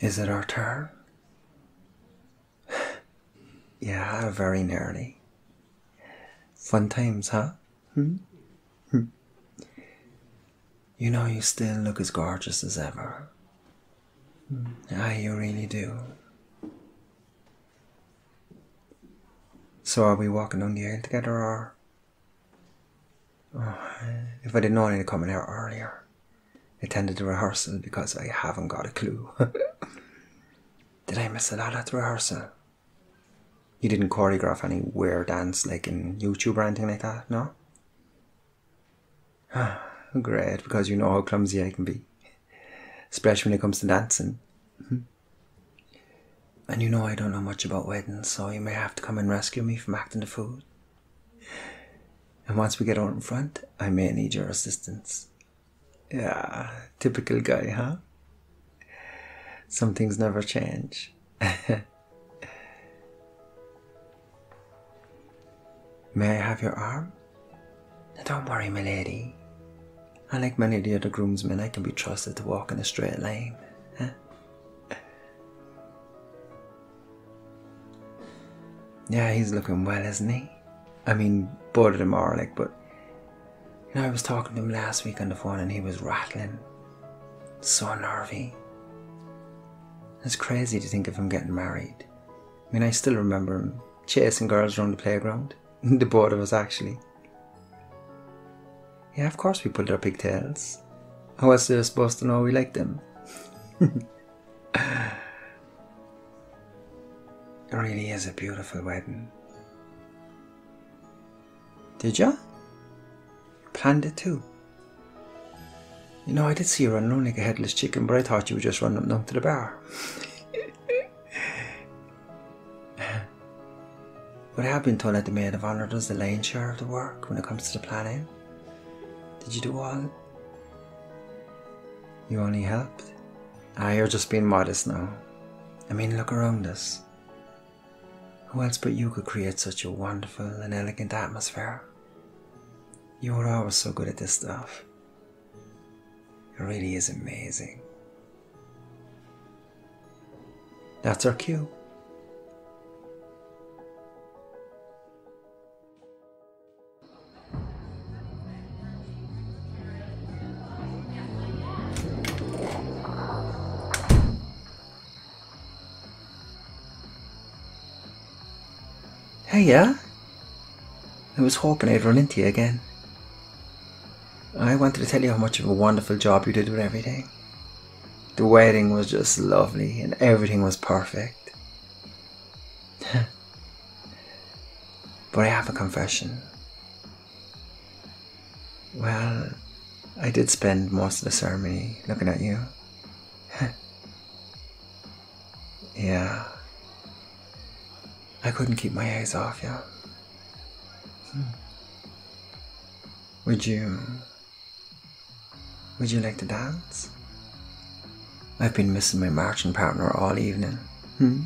Is it our turn? yeah, very nearly. Fun times, huh? Hmm? Hmm. You know, you still look as gorgeous as ever. Hmm. Ah, you really do. So, are we walking down the aisle together or Oh, if I'd known it to come in here earlier, I attended the rehearsal because I haven't got a clue. Did I miss a lot at rehearsal? You didn't choreograph any weird dance like in YouTube or anything like that, no? Great, because you know how clumsy I can be. Especially when it comes to dancing. Hmm. And you know I don't know much about weddings, so you may have to come and rescue me from acting the fool. And once we get out in front, I may need your assistance. Yeah, typical guy, huh? Some things never change. May I have your arm? Don't worry, my lady. I, like many of the other groomsmen, I can be trusted to walk in a straight line. Yeah, he's looking well, isn't he? I mean, bored of them are like, but you know, I was talking to him last week on the phone and he was rattling. So nervy. It's crazy to think of him getting married. I mean, I still remember him chasing girls around the playground. the both was actually. Yeah, of course we pulled our pigtails. How else are they supposed to know we liked them? It really is a beautiful wedding. Did You planned it too. You know, I did see you running like a headless chicken, but I thought you would just run up down to the bar. but I have been told that the maid of honour does the lion's share of the work when it comes to the planning. Did you do all you only helped? I ah, you're just being modest now. I mean, look around us. Who else but you could create such a wonderful and elegant atmosphere? You are always so good at this stuff. It really is amazing. That's our cue. Hey, yeah. I was hoping I'd run into you again. I wanted to tell you how much of a wonderful job you did with everything. The wedding was just lovely and everything was perfect. but I have a confession. Well, I did spend most of the ceremony looking at you. yeah. I couldn't keep my eyes off you. Hmm. Would you would you like to dance? I've been missing my marching partner all evening. Hmm?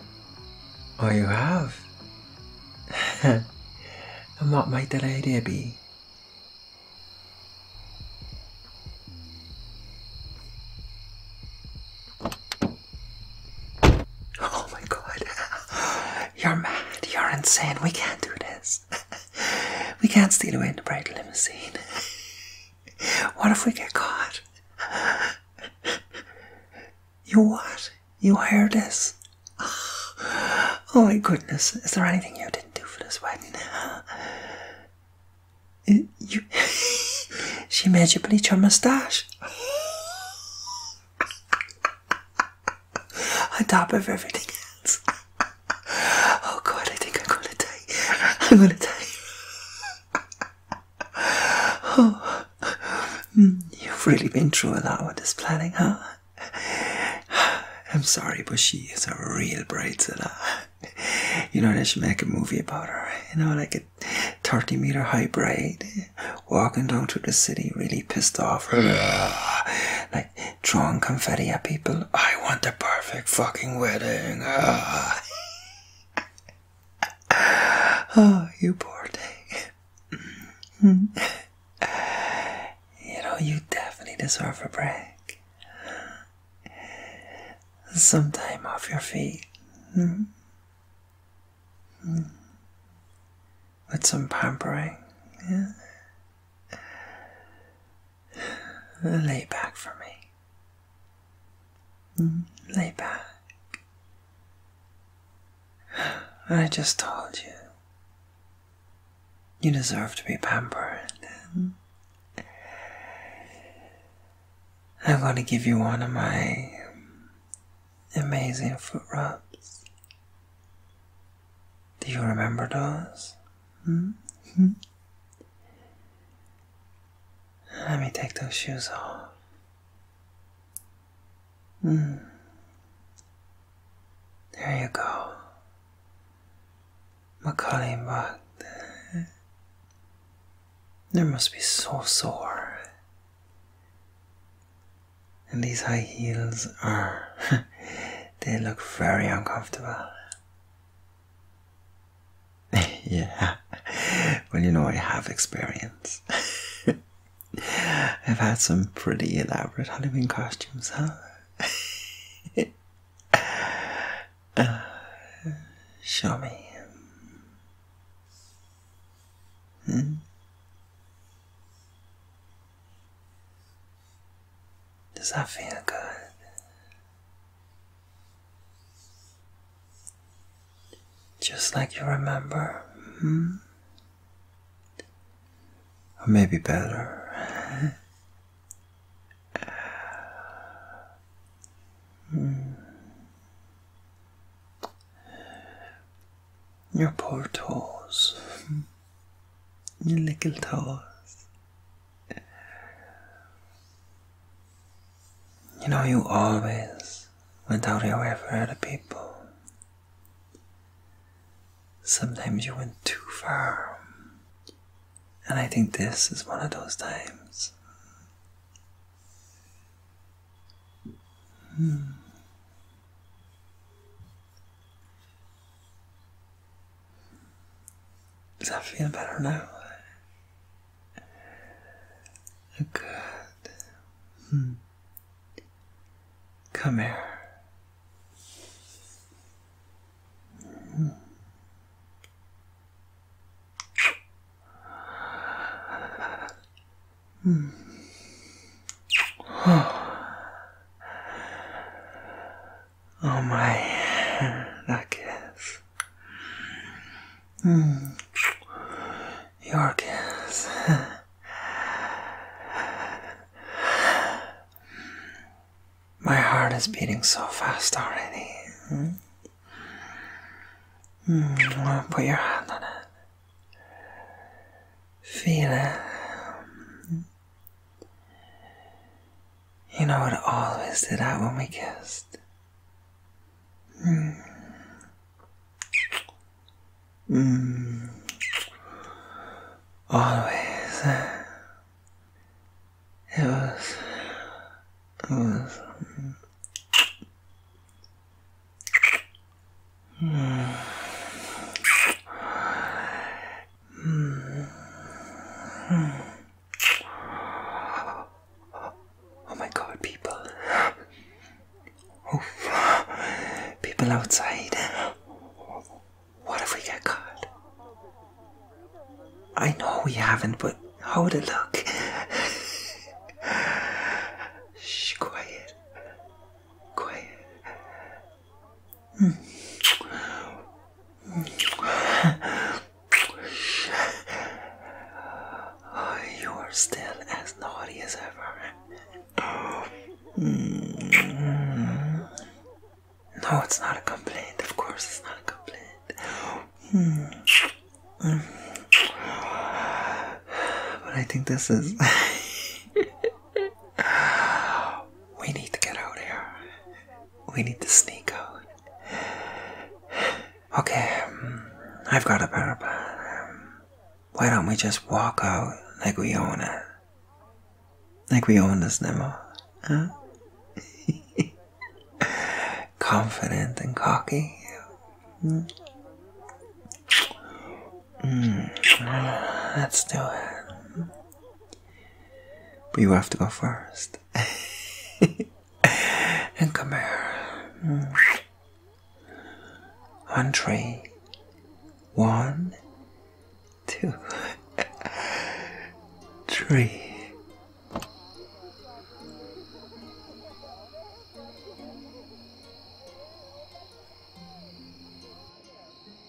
oh, you have? and what might that idea be? Oh my god. You're mad. You're insane. We can't do this. we can't steal away in the bright limousine. what if we get caught? you what? You hired this? Oh my goodness. Is there anything you didn't do for this wedding? You she made you bleach your moustache on top of everything else. oh God, I think I'm gonna die. I'm gonna die. oh, mm, you've really been through a lot with this planning, huh? I'm sorry, but she is a real bridezilla. You know, they should make a movie about her. You know, like a 30 meter high bride walking down through the city, really pissed off. like confetti people. I want the perfect fucking wedding. Ah. oh, you poor thing. you know, you definitely deserve a break. Some time off your feet. Hmm? Hmm with some pampering. Lay back for me. Mm, lay back. I just told you. You deserve to be pampered. I'm going to give you one of my amazing foot rubs. Do you remember those? Hmm? Hmm? Let me take those shoes off. Hmm. There you go. My calling but there must be so sore. And these high heels are, they look very uncomfortable. yeah, well, you know, I have experience. I've had some pretty elaborate Halloween costumes, huh? Uh, show me. Hmm? Does that feel good? Just like you remember, hmm? Or maybe better. Hmm your poor toes, your little toes. You know, you always went out your way for other people. Sometimes you went too far. And I think this is one of those times. Hmm. Does that feel better now? Good. Hmm. Come here. Hmm. Hmm. Oh. Oh my, that kiss. Mm. Your kiss. My heart is beating so fast already. Hmm. Hmm, put your hand on it. Feel it. Hmm. You know it always did that when we kissed. Mm. Mm. Always. It was. It was. Mm. Hmm. Oh my god, people. people outside. What if we get caught? I know we haven't, but how would it look? Shh, quiet. Quiet. you are still as naughty as ever. No, it's not a complaint. Of course, it's not a complaint. But I think this is. we need to get out here. We need to sneak out. Okay, um, I've got a plan. Um, why don't we just walk out like we own it? Like we own this Nemo, Confident and cocky. Hmm. Hmm, let's do it. But you have to go first. and come here. On hmm. three. One, two, three.